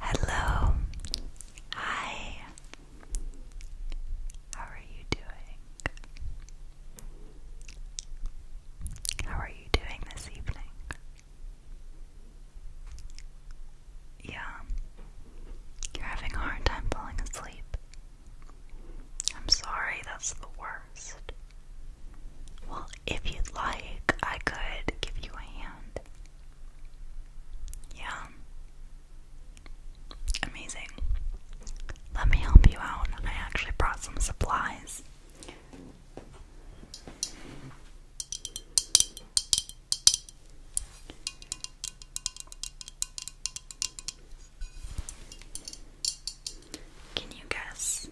Hello. Hi. How are you doing? How are you doing this evening? Yeah. You're having a hard time falling asleep. I'm sorry, that's the worst. Well, if you'd like, I could give you a hand. Yeah. Amazing. Let me help you out. I actually brought some supplies. Can you guess?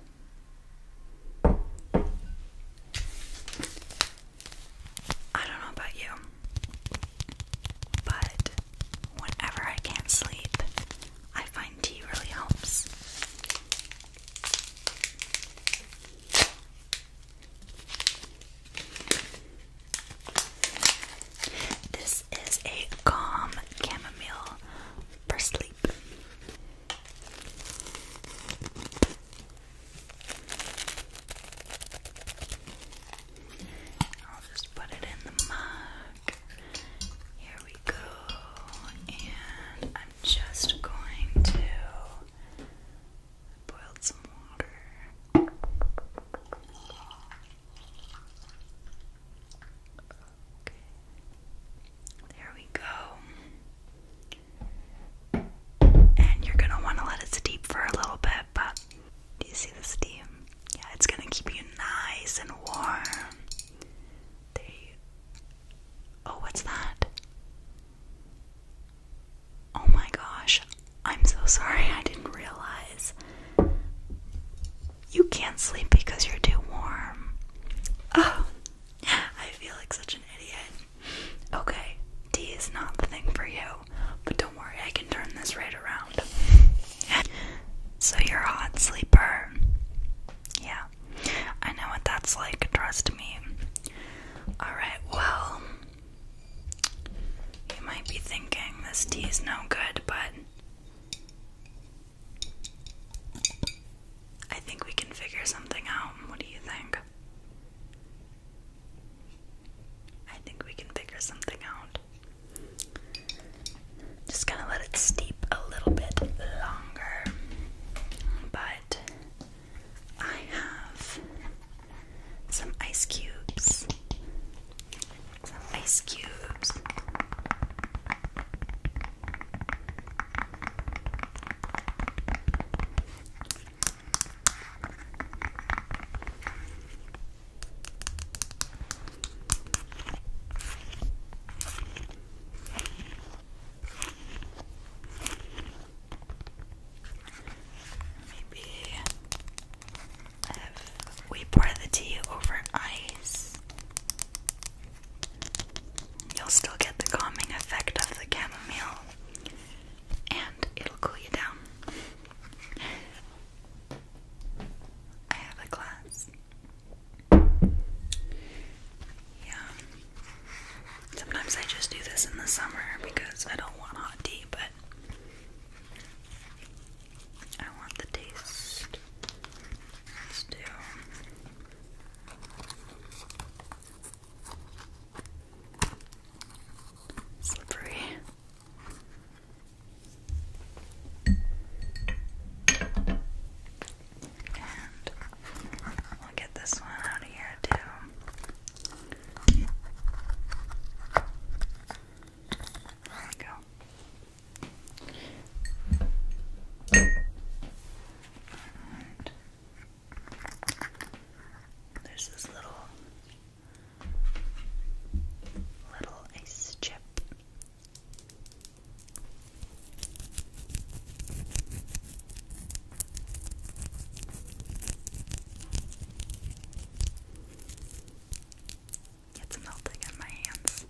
I don't know about you, but whenever I can't sleep, I find tea really helps. This is a calm chamomile for sleep. I'll just put it in the mug. Here we go. And I'm just going to boil some water. Okay. There we go. And you're gonna want to let it steep for a little bit, but do you see the steam? Yeah, it's gonna keep you nice and warm. There Oh, what's that? Oh my gosh. I'm so sorry, I didn't realize. You can't sleep because you're too warm. Oh, I feel like such an idiot. Okay, tea is not the thing for you, but don't worry, I can turn this right around. so you're a hot sleeper. Yeah, I know what that's like, trust me. Alright, well, you might be thinking this tea is no good, but I think we can figure something out. What do you think? I think we can figure something out. Just gonna let it steep a little bit longer. But I have some ice cubes. Some ice cubes. Maybe we pour the tea over ice, You'll still get the calming effect of the chamomile, and it'll cool you down. I have a class. Yeah. Sometimes I just do this in the summer because I don't want hot tea, but I want the taste. let Slippery. And we'll get this one out of here too. There we go. There's this little little ice chip. It's melting in my hands.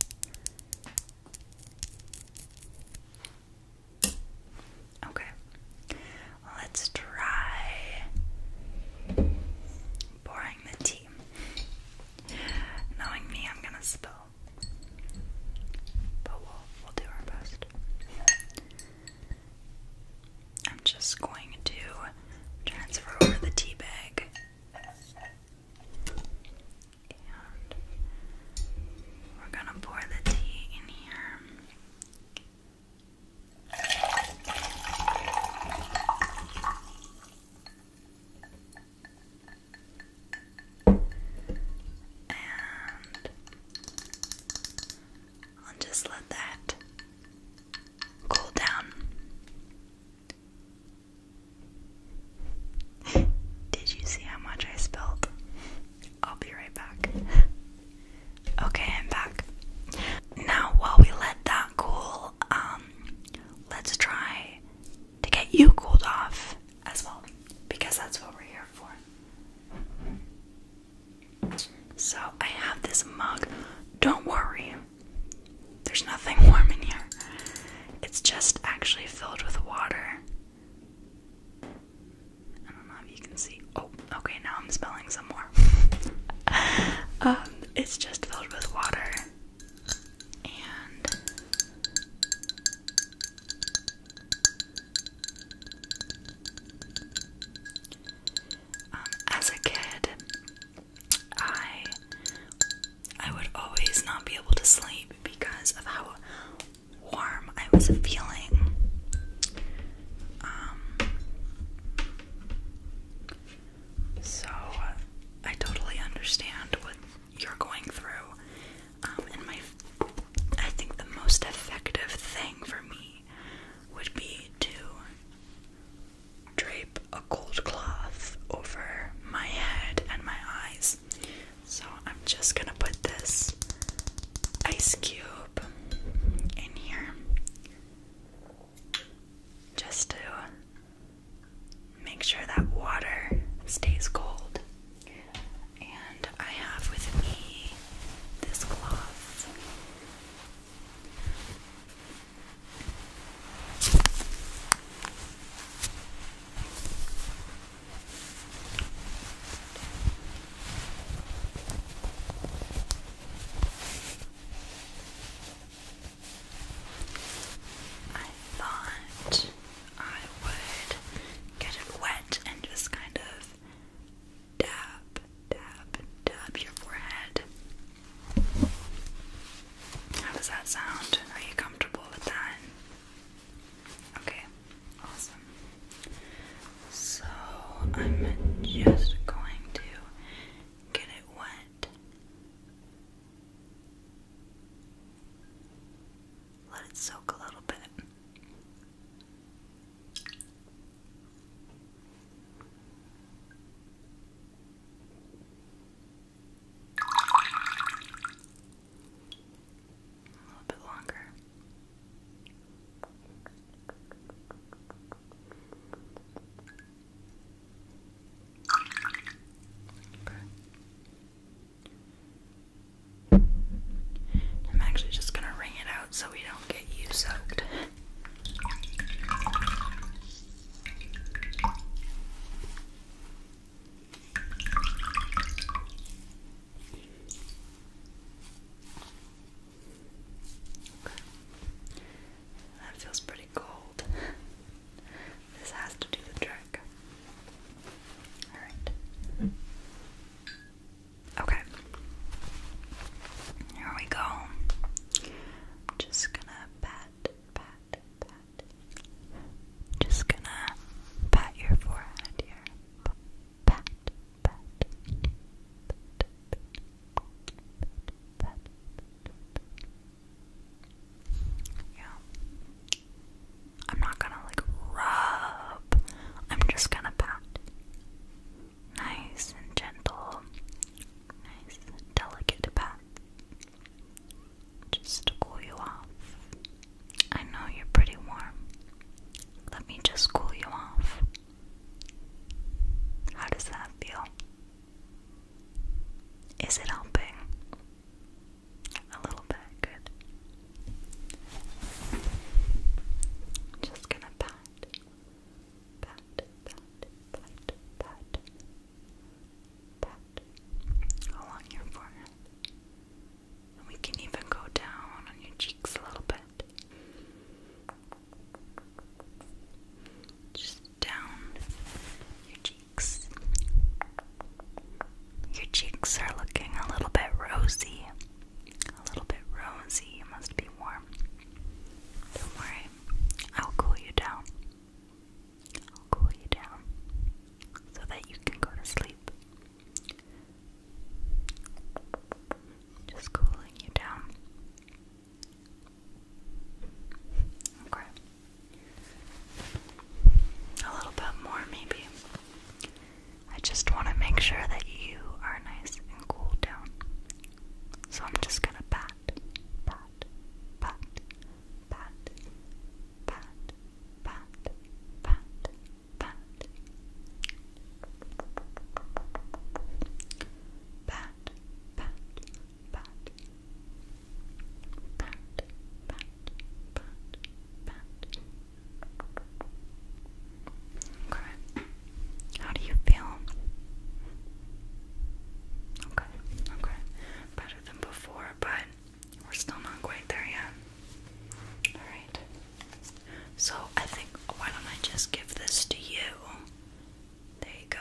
Okay, let's try pouring the tea. Knowing me, I'm gonna spill, but we'll we'll do our best. I'm just going to transfer over the tea bag and we're gonna pour the tea in here. And I'll just let that cool down. Did you see how much I spilled? I'll be right back. Okay, I'm back. Now, while we let that cool, um, let's try to get you cooled off as well, because that's what we're here for. So, I have this mug. Don't worry, there's nothing warm in here. It's just actually filled with water. I don't know if you can see. Oh, okay, now I'm spelling some more. Um, it's just filled with water. And um, as a kid, I I would always not be able to sleep because of how warm I was feeling. Um, so I totally understand what you're going through. Um, and my, I think the most effective thing for me would be to drape a cold cloth over my head and my eyes. So I'm just gonna put this ice cube in here just to make sure that water stays cold. And I have with me this cloth. I thought I would get it wet and just kind of dab, dab, dab your forehead. How does that sound? Are you comfortable with that? Okay, awesome. So I'm just going to get it wet. Let it soak a little bit a little bit longer. I'm actually just going to wring it out so we don't get you soaked. That feels pretty cold. this has to do the trick. Alright. Okay. Here we go. just gonna pat, pat, pat, just gonna pat your forehead here. Pat, pat, pat, pat. Yeah. I'm not gonna like rub. I'm just gonna pat. Nice and gentle. Nice, and delicate pat just to cool you off. I know you're pretty warm. Let me just cool you off. How does that feel? Is it helping? A little bit, good. Just gonna pat, pat, pat, pat, pat along your forehead. we can even go down on your cheeks a little bit. Just down your cheeks. Your cheeks are looking a little bit rosy. A little bit rosy. You must be warm. Don't worry, I'll cool you down. I'll cool you down so that you can go to sleep. Just cooling you down. Okay. A little bit more, maybe. I just want to make sure that you are nice and cooled down. So I'm just gonna pat, pat, pat, pat, pat, pat, pat, pat, pat, pat, pat, pat, pat, Okay. How do you feel? Okay, okay. Better than before, but we're still not quite there yet. Alright. So I think why don't I just give this to you? There you go.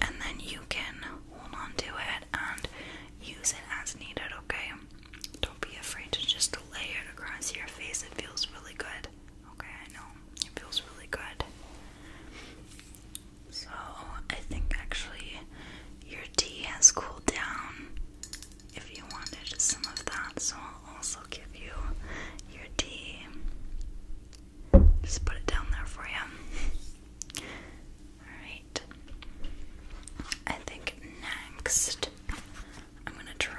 And then you can hold on to it and use it as needed, okay? Don't be afraid to just lay it across your face. It feels really good. Okay, I know. It feels really good. So, I think actually your tea has cooled down if you wanted some of that, so I'll also give you your tea. Just put it down there for you. Alright. I think next I'm gonna try.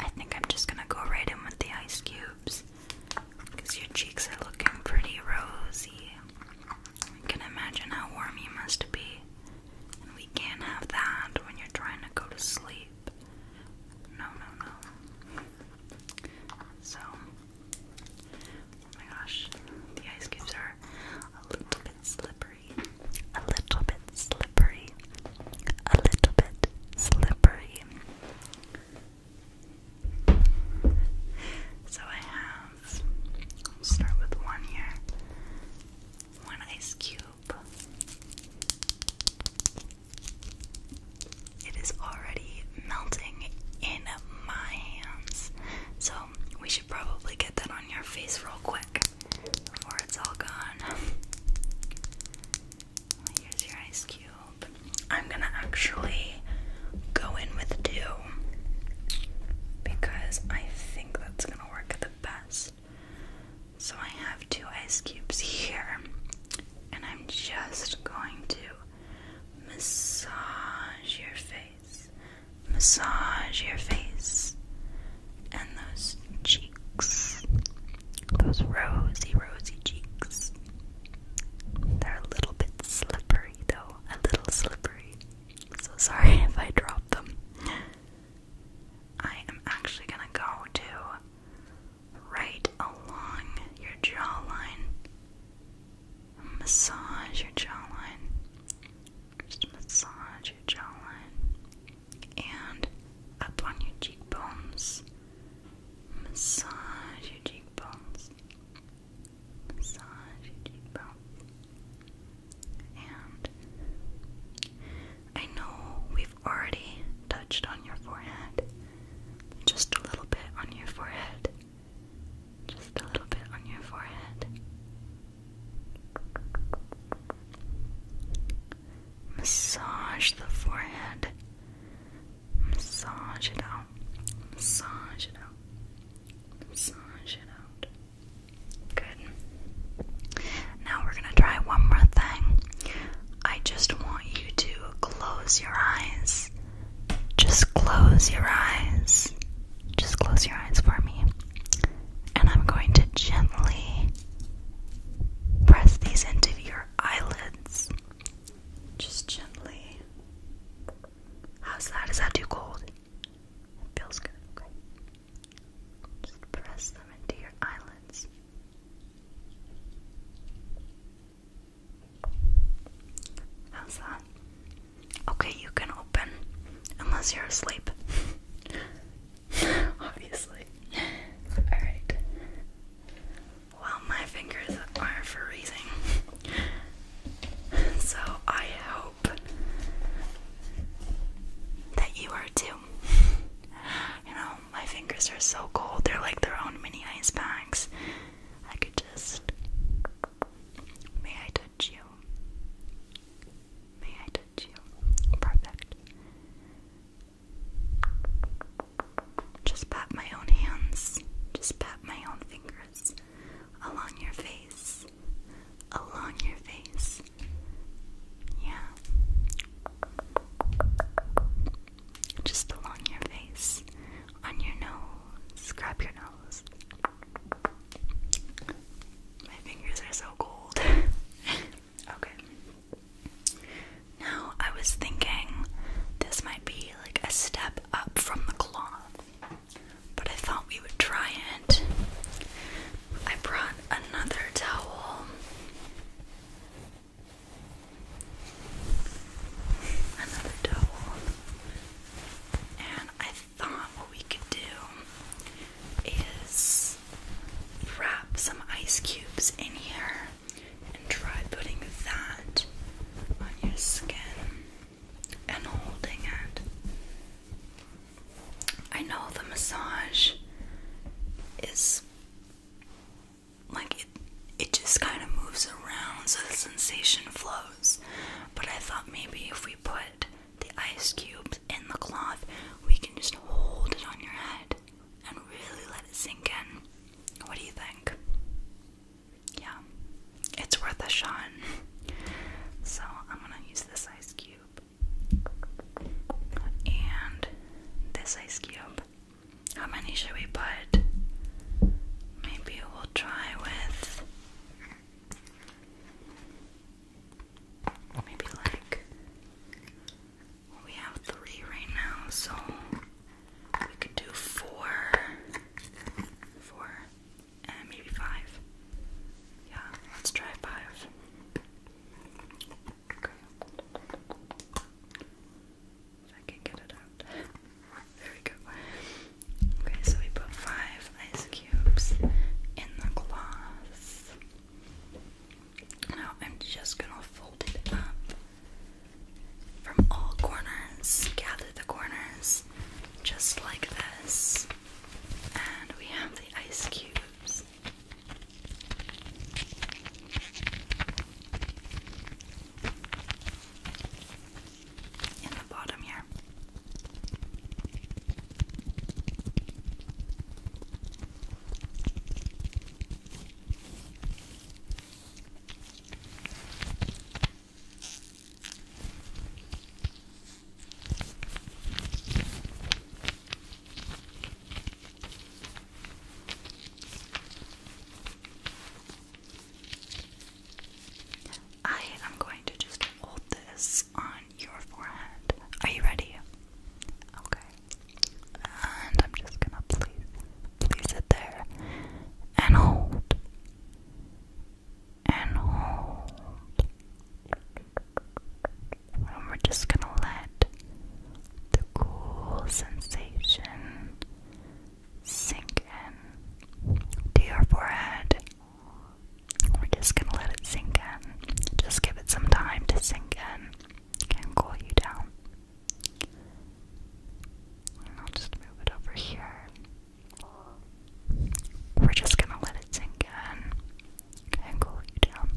I think I'm just gonna go right in with the ice cubes because your cheeks are looking pretty rosy. I can imagine how warm you must be, we can't have that when you're trying to go to sleep. No, no, no. So, oh my gosh, the ice cubes are a little bit slippery slippery, a little bit slippery, a little bit slippery. So I have, start with one here, one ice cube. It is already melting in my hands, so we should probably get that on your face real quick before it's all gone. Here's your ice cube. I'm gonna actually go in with two because I think that's gonna work the best. So I have two ice cubes here, and I'm just going to massage your face, massage your face, and those cheeks, those rosy, rosy cheeks. They're a little bit slippery, though, a little slippery. So sorry if I drop them. I am actually gonna go to right along your jawline. Massage your jawline. Just massage your jawline and up on your cheekbones. Massage your cheekbones. Massage your cheekbones. And I know we've already touched on your forehead. Just a little bit on your forehead. Just a little bit on your forehead. Massage the forehead. Massage it out. Massage it out. Massage it out. Good. Now we're going to try one more thing. I just want you to close your eyes. Just close your eyes. Just close your eyes for me. And I'm going to gently Press these into your eyelids just gently. How's that? Is that too cold? feels good, okay. Just press them into your eyelids. How's that? Okay, you can open unless you're asleep. obviously. Alright. Well, my fingers are for freezing. So I hope that you are too. You know, my fingers are so cold, they're like their own mini ice packs. I could just. May I touch you? May I touch you? Perfect. Just pat my own hands. Just pat my own fingers. Along your face. Along your face. Yeah. Just along your face. On your nose. Grab your nose. My fingers are so cold. Okay. Now I was thinking this might be like a step up from the cloth, but I thought we would try it. I brought another towel. Another towel. And I thought what we could do is wrap some ice cubes in here and try putting that on your skin and holding it. I know the massage is like it it just kind of moves around so the sensation flows. But I thought maybe if we put the ice cubes in the cloth, we can just hold it on your head and really let it sink in. What do you think? Yeah, it's worth a shot. So, I'm gonna use this ice cube and this ice cube. How many should we put? Maybe we'll try with maybe like we have three right now, so we could do four, four, and maybe five. Yeah, let's try five. Okay. If I can get it out. there we go. Okay, so we put five ice cubes in the glass. Now I'm just gonna fold it up from all corners, gather the corners just like this, and we have the ice cubes. In the bottom here. I am going to just hold this on your forehead. Are you ready? Okay. And I'm just gonna please, please sit there and hold. And hold. And we're just gonna let the cool sensation sink in to your forehead. We're just gonna let it sink in. Just give it some time to sink in and cool you down. I'll just move it over here. We're just gonna let it sink in and cool you down.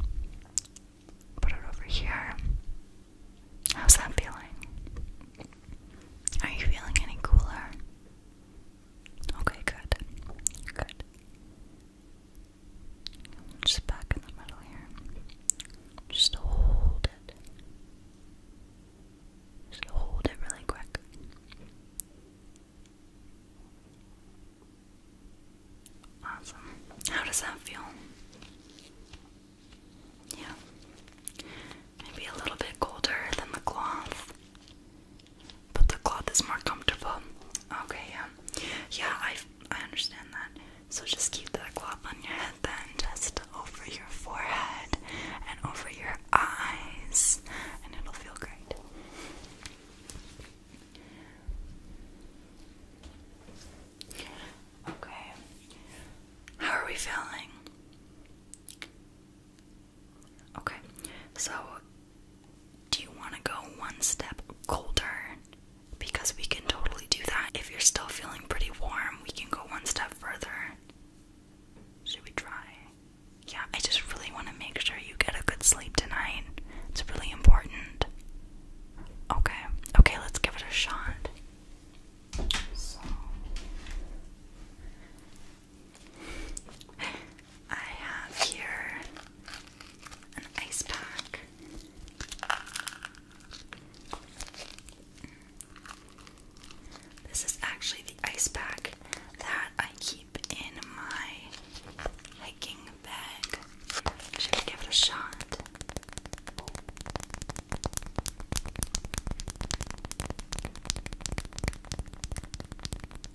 Put it over here. How's that feeling? Are you feeling any cooler? Okay, good. Good. Just back in the middle here. Just hold it. Just hold it really quick. Awesome. How does that feel? Yeah. Maybe a little bit colder than the cloth but the cloth is more comfortable. Okay, yeah, yeah, I I understand that. So just keep that cloth on your head then, just over your forehead and over your eyes, and it'll feel great. Okay, how are we feeling? Okay, so do you want to go one step colder? Because we can totally do that. If you're still feeling pretty warm, we can go one step further. Should we try? Yeah, I just really want to make sure you get a good sleep tonight. It's really important. Okay, okay, let's give it a shot. So, I have here an ice pack. This is actually the ice pack that I keep in my hiking bag. Should we give it a shot?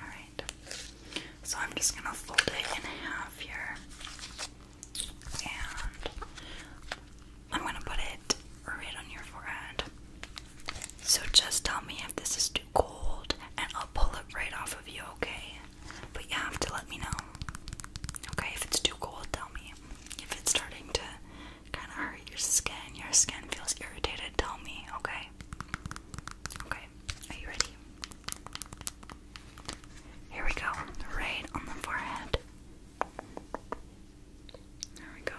Alright, so I'm just going to fold it in half here. And I'm going to put it right on your forehead. So just tell me if this is too cold and I'll pull it right off of you, okay? But you have to let me know. Okay, if it's too cold, tell me. If it's starting to kind of hurt your skin, your skin feels irritated, tell me, okay? Okay, are you ready? Here we go, right on the forehead. There we go.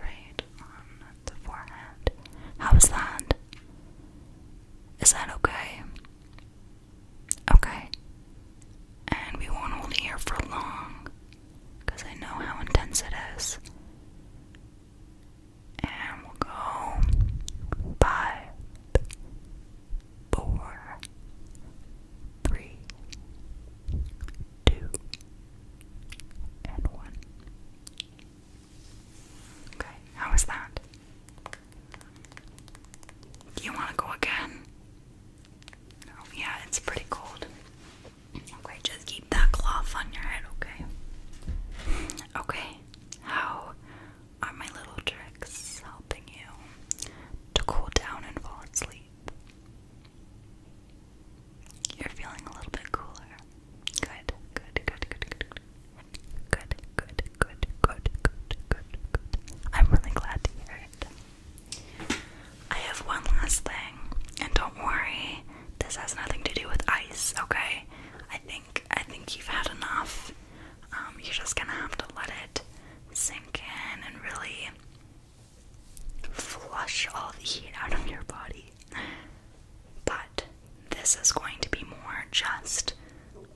Right on the forehead. How's that? Is that okay? Okay. And we won't hold here for long because I know how intense it is. And we'll go five, four, three, two, and one. Okay, how was that? You want to go again? yeah, it's pretty cold. Okay, just keep that cloth on your head, okay? Okay, how are my little tricks helping you to cool down and fall asleep? You're feeling a little bit cooler. good, good, good, good. good. Good, good, good, good, good, good, good. I'm really glad to hear it. I have one last thing, and don't worry, this has nothing to do with ice, okay? I think I think you've had enough. Um, you're just gonna have to let it sink in and really flush all the heat out of your body. But this is going to be more just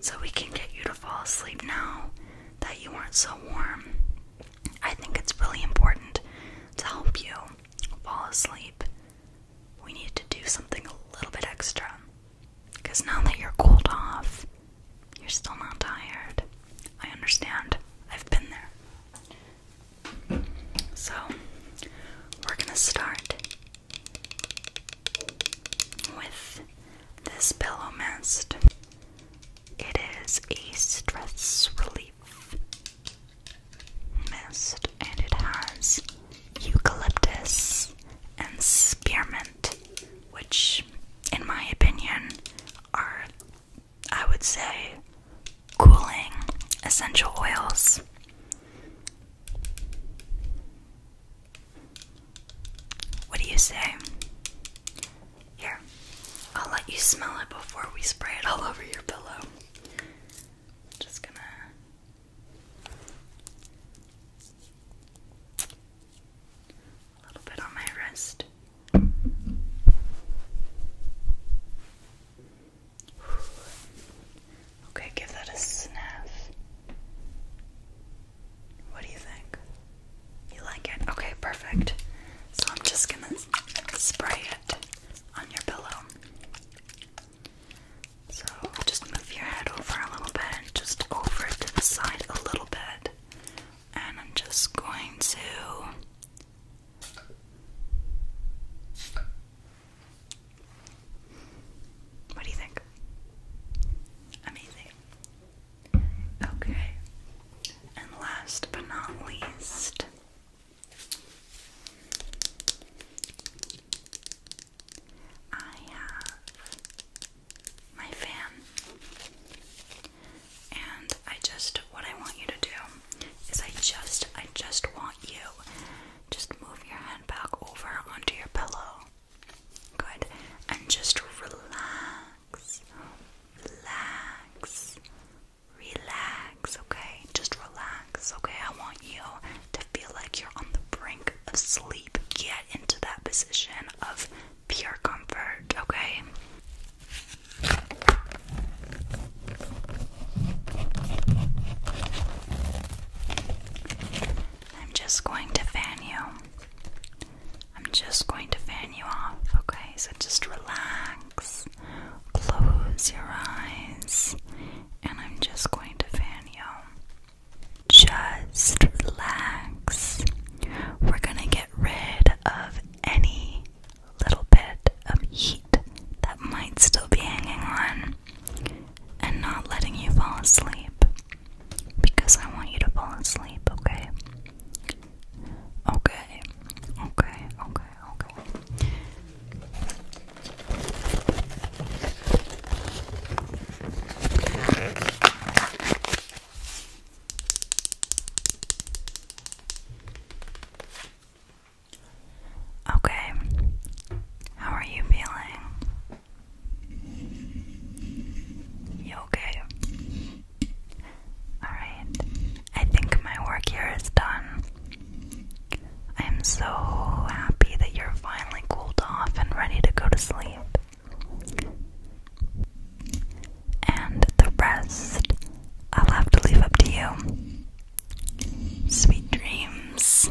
so we can get you to fall asleep now that you aren't so warm. I think it's really important to help you fall asleep. We need to do something a little bit extra because now that you're cooled off, you're still not tired. I understand. I've been there. So, we're going to start with this pillow mist, it is a stress relief mist and it has eucalyptus and spearmint, which, in my opinion, are, I would say, cooling essential oils. What do you say? Here, I'll let you smell it before we spray it all over your pillow. just gonna. A little bit on my wrist. Okay, give that a sniff. What do you think? You like it? Okay, perfect. So I'm just gonna spray it on your pillow. So just move your head over a little bit, just over to the side a little bit, and I'm just going to what do you think? Amazing. Okay. And last but not least, I have my fan. And I just, what I want you to do is I just, I just want you just move your hand back over onto your pillow. Good. And just relax. Relax. Relax, okay? Just relax, okay? I want you to feel like you're on the brink of sleep. Get into that position of pure comfort, okay? I'm just going to fan you. I'm just going to fan you off, okay? So just relax, close your eyes, and I'm just going to fan you. Just relax. We're going to get rid of any little bit of heat that might still be hanging on and not letting you fall asleep because I want you to fall asleep, okay? Okay, okay, okay, okay. Okay, how are you feeling? You okay? Alright, I think my work here is done. I am so happy that you're finally cooled off and ready to go to sleep. And the rest, I'll have to leave up to you. Sweet dreams.